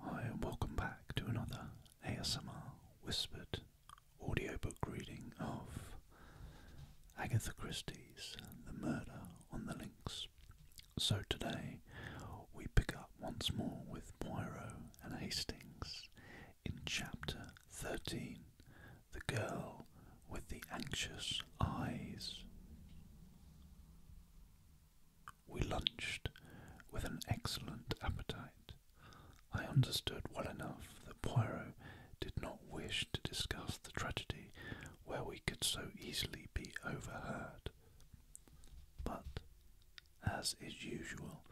Hi, welcome back to another ASMR Whispered audiobook reading of Agatha Christie's The Murder on the Links. So today we pick up once more with Poirot and Hastings in Chapter 13 The Girl with the Anxious Eyes. We lunched with an excellent appetite. I understood well enough that Poirot did not wish to discuss the tragedy where we could so easily be overheard. But, as is usual,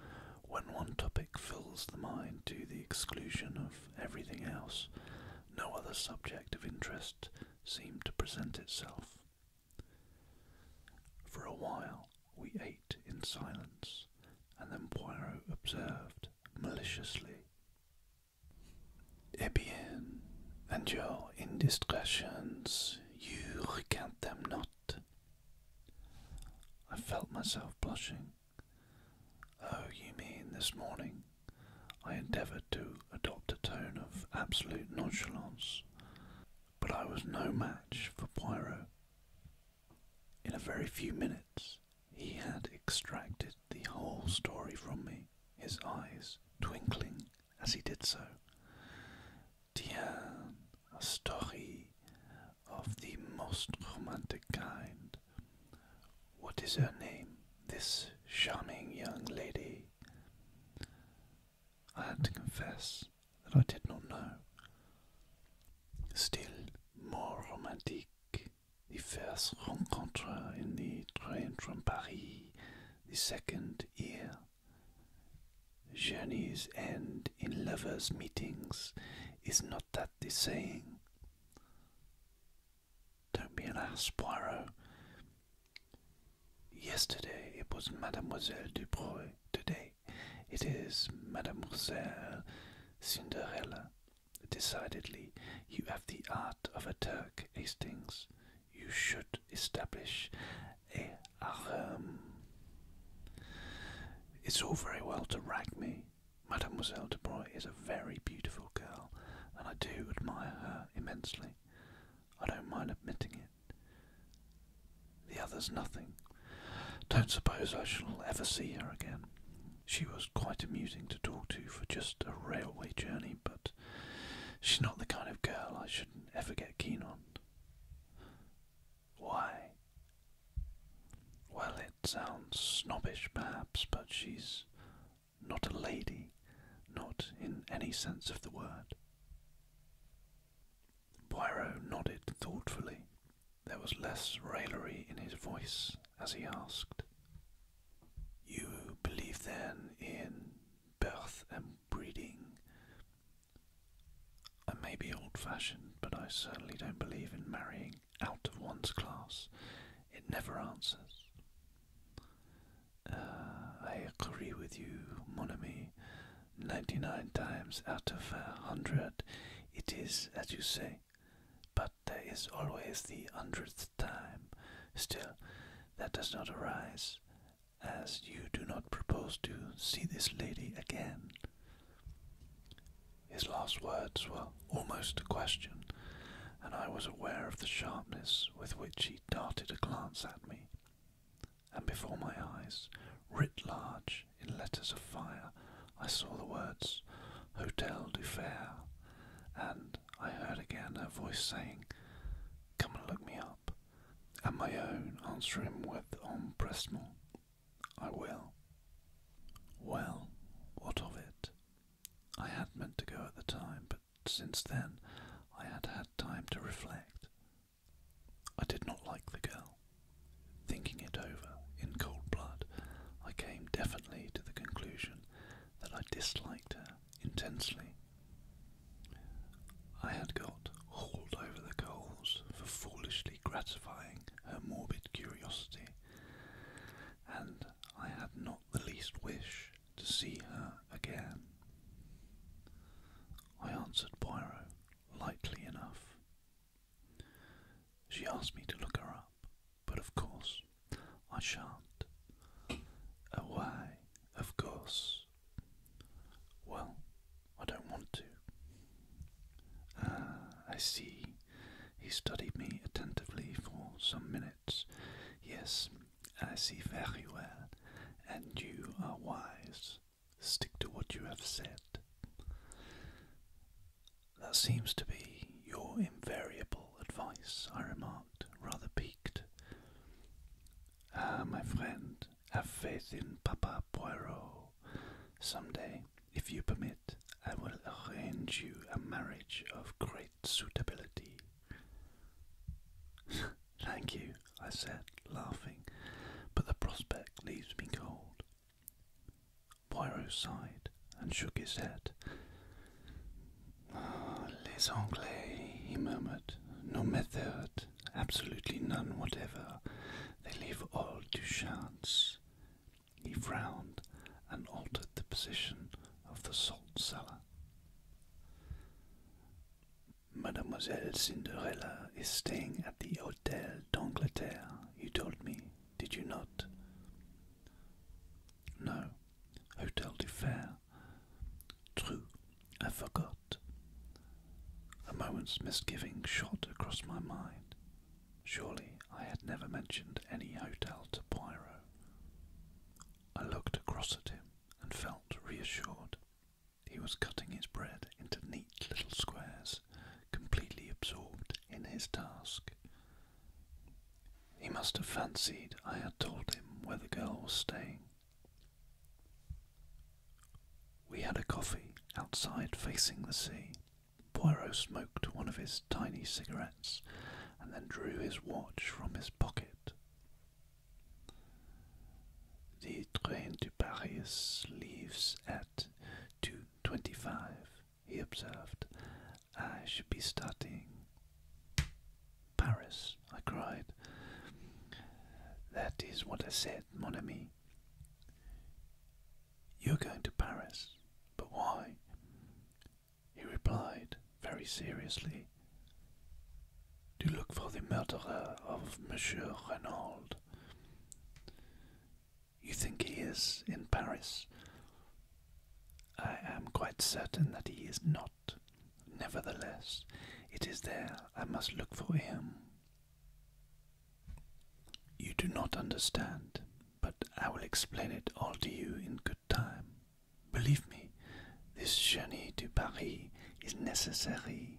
when one topic fills the mind to the exclusion of everything else, no other subject of interest seemed to present itself. For a while we ate in silence, and then Poirot observed maliciously. Eh bien, and your indiscretions, you recant them not. I felt myself blushing. Oh, you mean this morning? I endeavoured to adopt a tone of absolute nonchalance, but I was no match for Poirot. In a very few minutes, he had extracted the whole story from me, his eyes twinkling as he did so. Tiens, a story of the most romantic kind. What is her name, this charming young lady? I had to confess that I did not know. Still more romantic, the first rencontre in the train from Paris, the second year. Journeys end in lovers' meetings, is not that the saying? Don't be an ass, Poirot. Yesterday it was Mademoiselle Dubreuil. Today it is Mademoiselle Cinderella. Decidedly, you have the art of a Turk, Hastings. You should establish a harem. It's all very well to rag me. Mademoiselle Dubreuil is a very beautiful girl, and I do admire her immensely. I don't mind admitting it. The other's nothing. Don't suppose I shall ever see her again. She was quite amusing to talk to for just a railway journey, but she's not the kind of girl I should ever get keen on. Why? Well, it sounds snobbish perhaps, but she's not a lady, not in any sense of the word. Poirot nodded thoughtfully. There was less raillery in his voice as he asked, You believe then in birth and breeding? I may be old fashioned, but I certainly don't believe in marrying out of one's class. It never answers. Uh, I agree with you, mon ami. 99 times out of a hundred, it is as you say, but there is always the hundredth time. Still, that does not arise, as you do not propose to see this lady again. His last words were almost a question, and I was aware of the sharpness with which he she darted a glance at me, and before my eyes, writ large in letters of fire, I saw the words Hotel de Fere," and I heard again her voice saying, Come and look me up, and my own answer him with empressement, I will. Well, what of it? I had meant to go at the time, but since then I had had time to reflect. I did not like the girl. Thinking it over in cold blood, I came definitely to the conclusion that I disliked her intensely. I had got hauled over the coals for foolishly gratifying her morbid curiosity, and I had not the least wish to see her again. I answered Poirot lightly enough. She asked me to look her up, but of course I shan't. Away, of course. Well, I don't want to. Ah, I see. He studied me attentively for some minutes. Yes, I see very well, and you are wise. Stick to what you have said. That seems to be your invariable advice, I remarked, rather piqued. Ah, my friend, have faith in Papa Poirot. Some day, if you permit, I will arrange you a marriage of great suitability. Thank you, I said, laughing, but the prospect leaves me cold. Poirot sighed and shook his head. Ah, les Anglais, he murmured. No method, absolutely none whatever. They leave all to chance. He frowned and altered the position of the salt cellar. Mademoiselle Cinderella is staying at the Hotel d'Angleterre, you told me, did you not? No, Hotel du Fer. True, I forgot. A moment's misgiving shot across my mind. Surely I had never mentioned any hotel to Poirot. I looked across at him and felt reassured. He was cutting his bread into neat little squares, completely absorbed in his task. He must have fancied I had told him where the girl was staying. We had a coffee outside facing the sea. Poirot smoked one of his tiny cigarettes and then drew his watch from his pocket. The train to Paris leaves at 2.25, he observed. I should be starting. Paris, I cried. That is what I said, mon ami. You're going to Paris, but why? he replied very seriously, to look for the murderer of Monsieur Renauld. You think he is in Paris? I am quite certain that he is not. Nevertheless, it is there I must look for him. You do not understand, but I will explain it all to you in good time. Believe me, this journey to Paris is necessary.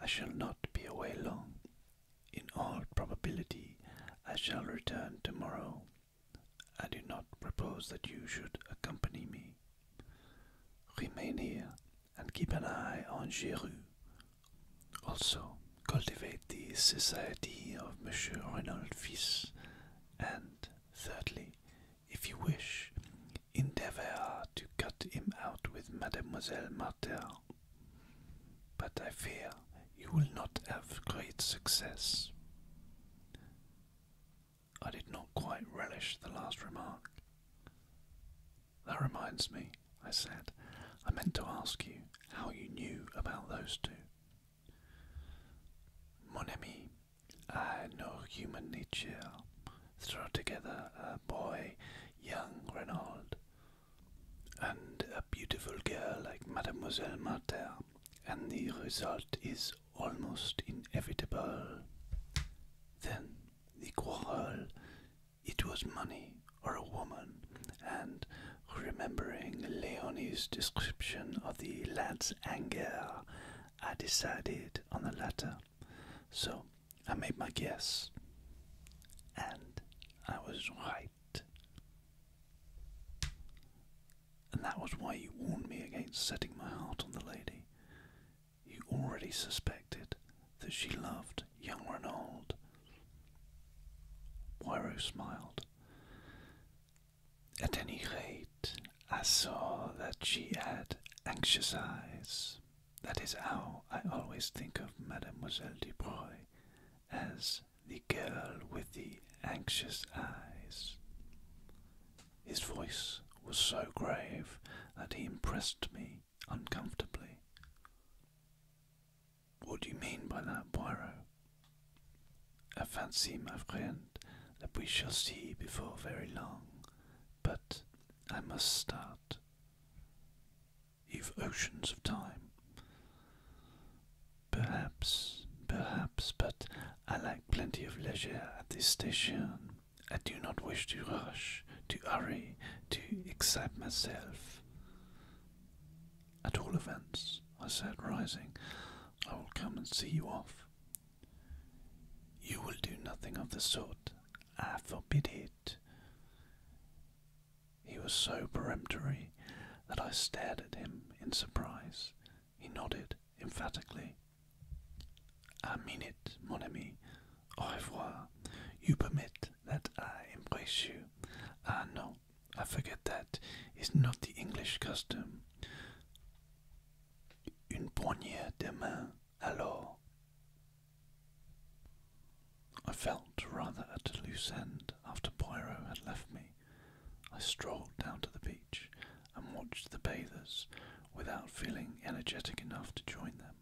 I shall not be away long. In all probability, I shall return tomorrow. I do not propose that you should accompany me. Remain here and keep an eye on Giroux. Also, cultivate the society of Monsieur Reynolds Fils and thirdly, if you wish, endeavour to cut him out with Mademoiselle Martel. But I fear you will not have great success. I did not quite relish the last remark. That reminds me, I said, I meant to ask you how you knew about those two. Mon ami, I know human nature. Throw together a boy, young Renaud, and a beautiful girl like Mademoiselle Martin, and the result is almost inevitable. Then the quarrel. It was money or a woman, and remembering Leonie's description of the lad's anger, I decided on the latter. So I made my guess, and I was right. And that was why you warned me against setting my heart on the lady. You already suspected that she loved young Renaud. Poirot smiled. At any rate, I saw that she had anxious eyes. That is how I always think of Mademoiselle Dubreuil, as the girl with the anxious eyes. His voice was so grave that he impressed me uncomfortably. What do you mean by that, Poirot? I fancy, my friend, that we shall see before very long, but I must start. You've oceans of time. Perhaps, perhaps, but I like plenty of leisure at this station. I do not wish to rush, to hurry, to excite myself. At all events, I said, rising, I will come and see you off. You will do nothing of the sort. I ah, forbid it. He was so peremptory that I stared at him in surprise. He nodded emphatically. I mean it, mon ami. Au revoir. You permit that I embrace you. Ah, no, I forget that. It's not the English custom. Une poignée de main, alors. I felt rather at a loose end after Poirot had left me. I strolled down to the beach and watched the bathers without feeling energetic enough to join them.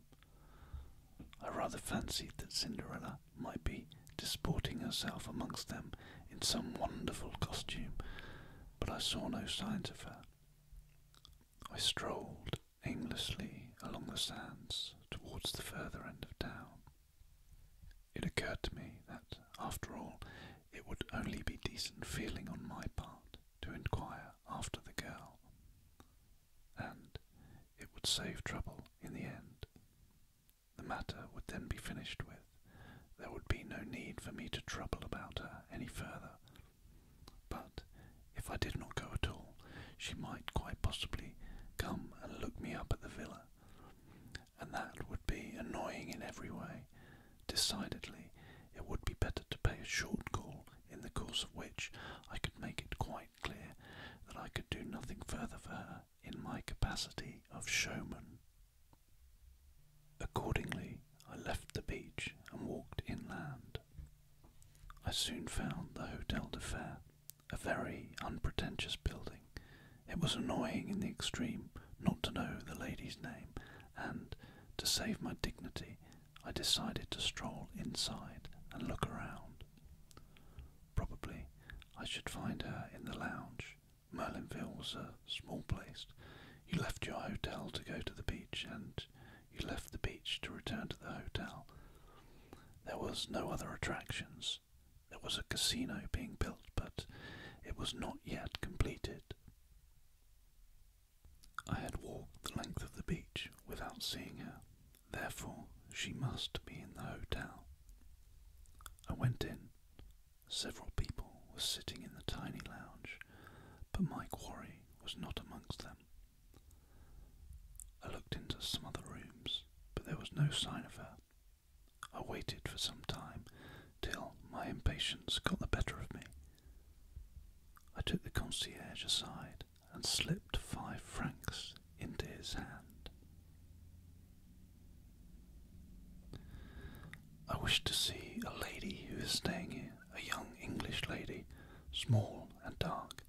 I rather fancied that Cinderella might be disporting herself amongst them in some wonderful costume, but I saw no signs of her. I strolled aimlessly along the sands towards the further end of town. It occurred to me that, after all, it would only be decent feeling on my part to inquire after the girl, and it would save trouble in the end. The matter would then be finished with. There would be no need for me to trouble about her any further. But if I did not go at all, she might quite possibly come and look me up at the villa, and that would be annoying in every way. Decidedly, it would be better to pay a short call, in the course of which I could make it quite clear that I could do nothing further for her in my capacity of showman. Accordingly, I left the beach and walked inland. I soon found the Hotel de Fer, a very unpretentious building. It was annoying in the extreme not to know the lady's name, and, to save my dignity, I decided to stroll inside and look around. Probably I should find her in the lounge. Merlinville was a small place. You left your hotel to go to the beach, and you left the beach to return to the hotel. There was no other attractions. There was a casino being built, but it was not yet completed. I had walked the length of the beach without seeing her. Therefore, she must be in the hotel. I went in. Several people were sitting in the tiny lounge, but my quarry was not amongst them. I looked into some other rooms, but there was no sign of her. I waited for some time till my impatience got the better of me. I took the concierge aside and slipped five francs into his hand. I wish to see a lady who is staying here, a young English lady, small and dark.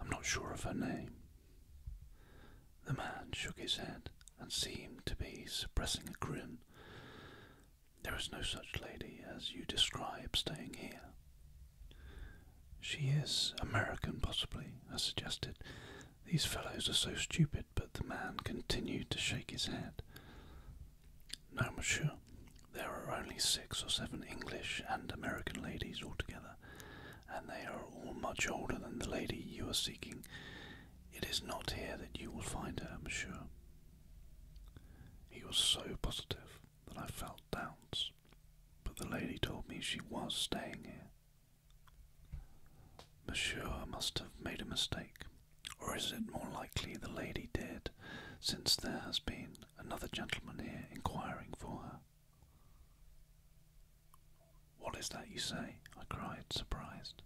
I'm not sure of her name. The man shook his head and seemed to be suppressing a grin. There is no such lady as you describe staying here. She is American, possibly, I suggested. These fellows are so stupid, but the man continued to shake his head. No, monsieur, there are only six or seven English and American ladies altogether, and they are all much older than the lady you are seeking. It is not here that you will find her, monsieur. He was so positive that I felt doubts, but the lady told me she was staying here. Monsieur must have made a mistake, or is it more likely the lady did, since there has been another gentleman here inquiring for her? What is that you say? I cried, surprised.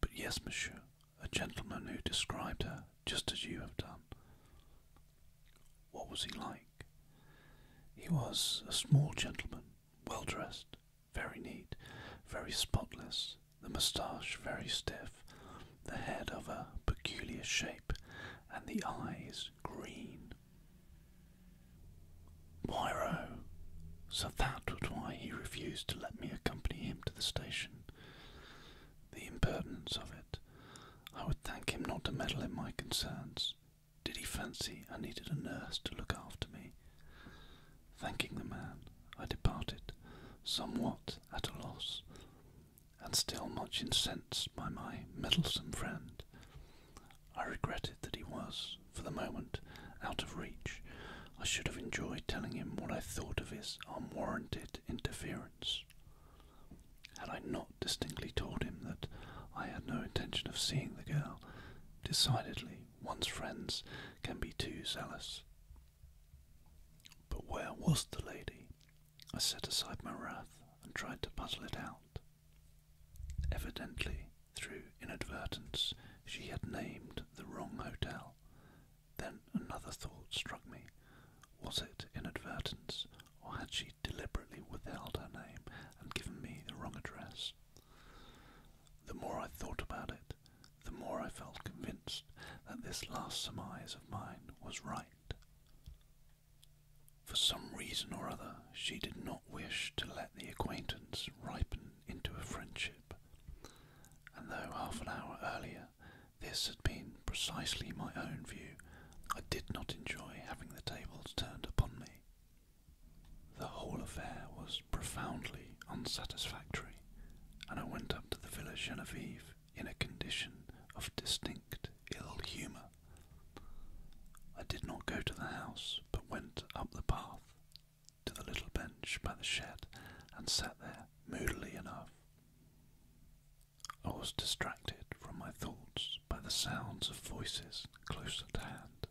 But yes, monsieur, a gentleman who described her just as you have done. What was he like? He was a small gentleman, well dressed, very neat, very spotless, the moustache very stiff, the head of a peculiar shape, and the eyes green. Poirot! So that was why he refused to let me accompany him to the station. The impertinence of it. I would thank him not to meddle in my concerns. Did he fancy I needed a nurse to look after me? Thanking the man, I departed, somewhat at a loss, and still much incensed by my meddlesome friend. I regretted that he was, for the moment, out of reach. I should have enjoyed telling him what I thought of his unwarranted interference. Had I not distinctly told him that I had no intention of seeing the girl, decidedly one's friends can be too zealous. But where was the lady? I set aside my wrath and tried to puzzle it out. Evidently, through inadvertence, she had named the wrong hotel. Then another thought struck me. Was it inadvertence, or had she deliberately withheld her name and given me the wrong address? The more I thought about it, the more I felt convinced that this last surmise of mine was right. For some reason or other, she did not wish to let the acquaintance ripen into a friendship, and though half an hour earlier this had been precisely my own view I did not enjoy having the tables turned upon me. The whole affair was profoundly unsatisfactory, and I went up to the Villa Genevieve in a condition of distinct ill humour. I did not go to the house, but went up the path to the little bench by the shed and sat there moodily enough. I was distracted from my thoughts by the sounds of voices close at hand.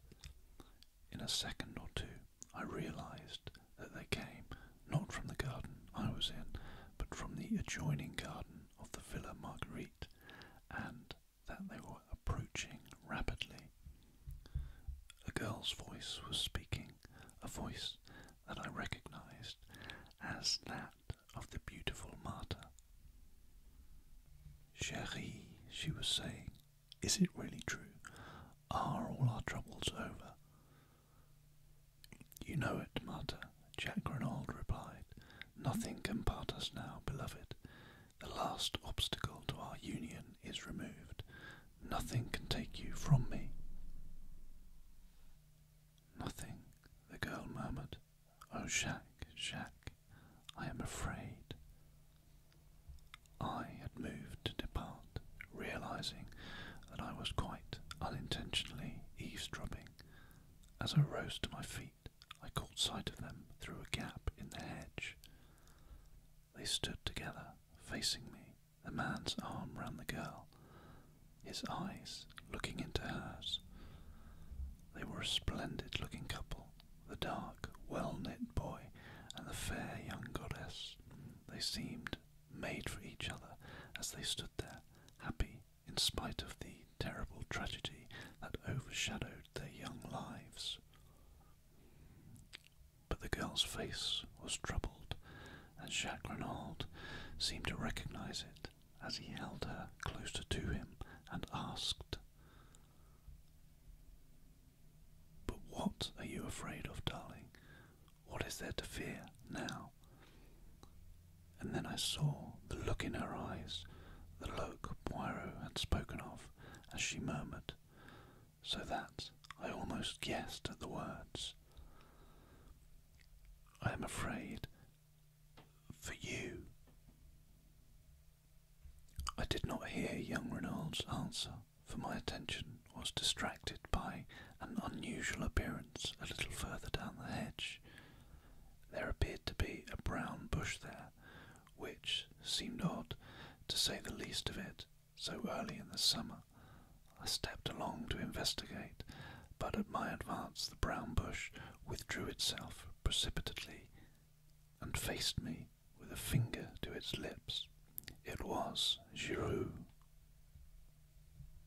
In a second or two, I realized that they came not from the garden I was in, but from the adjoining garden of the Villa Marguerite, and that they were approaching rapidly. A girl's voice was speaking, a voice that I recognized as that of the beautiful martyr. Cherie, she was saying, is it really true? Are all our troubles over? You know it, martyr, Jack Renauld replied. Nothing can part us now, beloved. The last obstacle to our union is removed. Nothing can take you from me. Nothing, the girl murmured. Oh, Jacques, Jacques, I am afraid. I had moved to depart, realizing that I was quite unintentionally eavesdropping. As I rose to my feet, I caught sight of them through a gap in the hedge. They stood together, facing me, the man's arm round the girl, his eyes looking into hers. They were a splendid looking couple, the dark, well knit boy and the fair young goddess. They seemed made for each other as they stood there, happy in spite of the terrible tragedy that overshadowed their young lives. But the girl's face was troubled, and Jacques Renaud seemed to recognize it as he held her closer to him and asked, But what are you afraid of, darling? What is there to fear now? And then I saw the look in her eyes, the look Poirot had spoken of, as she murmured, so that I almost guessed at the words. I am afraid for you. I did not hear young Reynolds' answer, for my attention was distracted by an unusual appearance a little further down the hedge. There appeared to be a brown bush there, which seemed odd, to say the least of it, so early in the summer. I stepped along to investigate, but at my advance the brown bush withdrew itself precipitately and faced me with a finger to its lips. It was Giroux.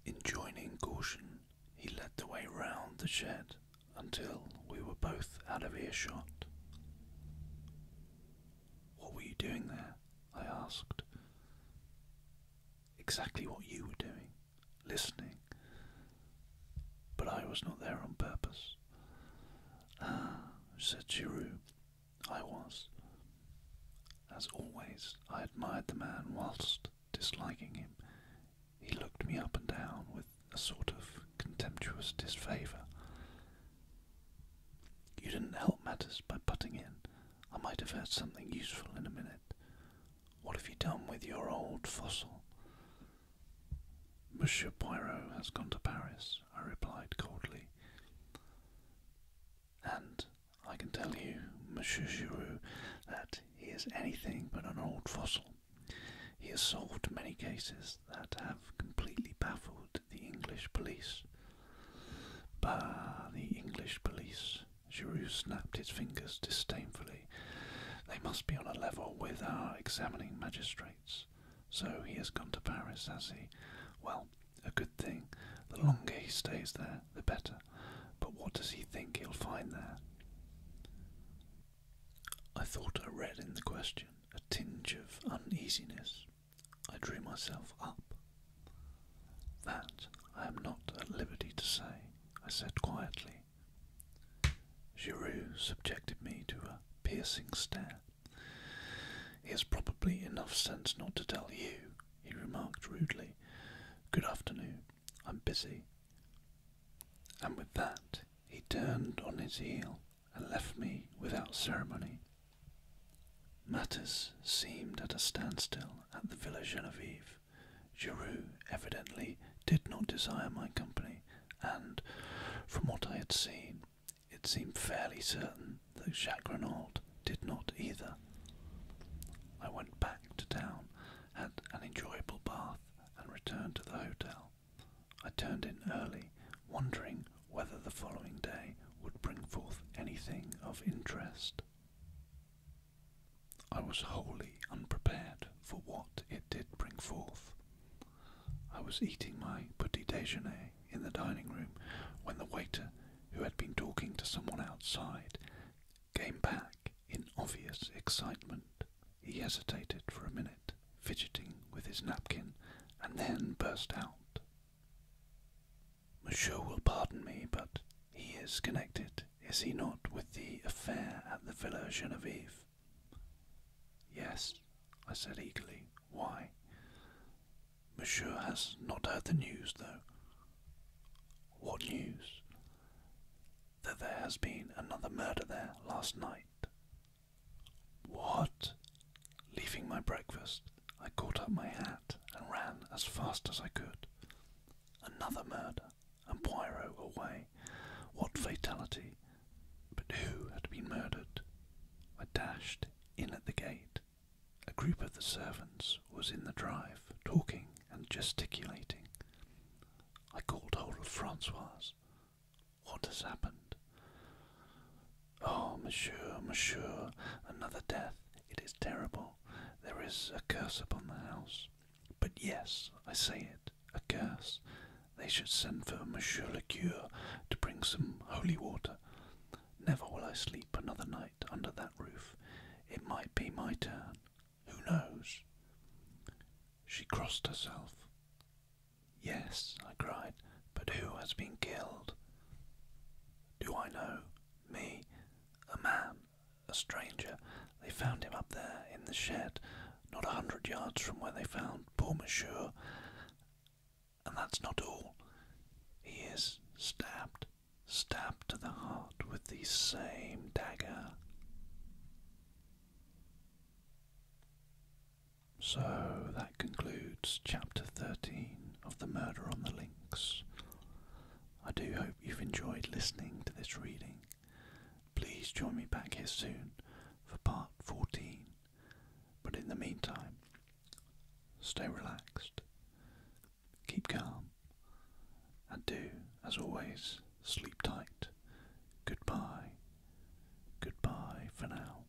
Enjoining caution, he led the way round the shed until we were both out of earshot. What were you doing there? I asked exactly what you were doing, listening. But I was not there on purpose. Ah, said Giroux, I was. As always, I admired the man whilst disliking him. He looked me up and down with a sort of contemptuous disfavour. You didn't help matters by putting in. I might have heard something useful in a minute. What have you done with your old fossil? Monsieur Poirot has gone to Paris, I replied coldly. And I can tell you, Monsieur Giroux, that he is anything but an old fossil. He has solved many cases that have completely baffled the English police. Bah, the English police. Giroux snapped his fingers disdainfully. They must be on a level with our examining magistrates. So he has gone to Paris, has he? Well, a good thing. The longer he stays there, the better. But what does he think he'll find there? I thought I read in the question a tinge of uneasiness. I drew myself up that I am not at liberty to say, I said quietly. Giroux subjected me to a piercing stare. He has probably enough sense not to tell you, he remarked rudely. Good afternoon. I'm busy. And with that, he turned on his heel and left me without ceremony. Matters seemed at a standstill at the Villa Genevieve life. Giroux evidently did not desire my company, and, from what I had seen, it seemed fairly certain that Jacques Renault did not either. I went back to town, had an enjoyable bath, and returned to the hotel. I turned in early, wondering whether the following day would bring forth anything of interest. I was wholly unprepared for what it did bring forth. I was eating my petit déjeuner in the dining room when the waiter, who had been talking to someone outside, came back in obvious excitement. He hesitated for a minute, fidgeting with his napkin, and then burst out. Monsieur will pardon me, but he is connected, is he not, with the affair at the Villa Genevieve? Yes, I said eagerly. Why? Monsieur has not heard the news, though. What news? That there has been another murder there last night. What? Leaving my breakfast, I caught up my hat and ran as fast as I could. Another murder, and Poirot away. What fatality! But who had been murdered? I dashed in at the gate. A group of the servants was in the drive, talking and gesticulating. I called hold of Francois. What has happened? Oh, monsieur, monsieur, another death. It is terrible. There is a curse upon the house. But yes, I say it, a curse. They should send for Monsieur le Cure to bring some holy water. Never will I sleep another night under that roof. It might be my turn. Who knows? She crossed herself. Yes, I cried, but who has been killed? Do I know? Me? a man, a stranger. They found him up there in the shed, not a hundred yards from where they found poor Monsieur. And that's not all. He is stabbed, stabbed to the heart with the same dagger. So that concludes chapter 13 of The Murder on the Links. I do hope you've enjoyed listening to this reading. Please join me back here soon for part 14. But in the meantime, stay relaxed, keep calm, and do, as always, sleep tight. Goodbye. Goodbye for now.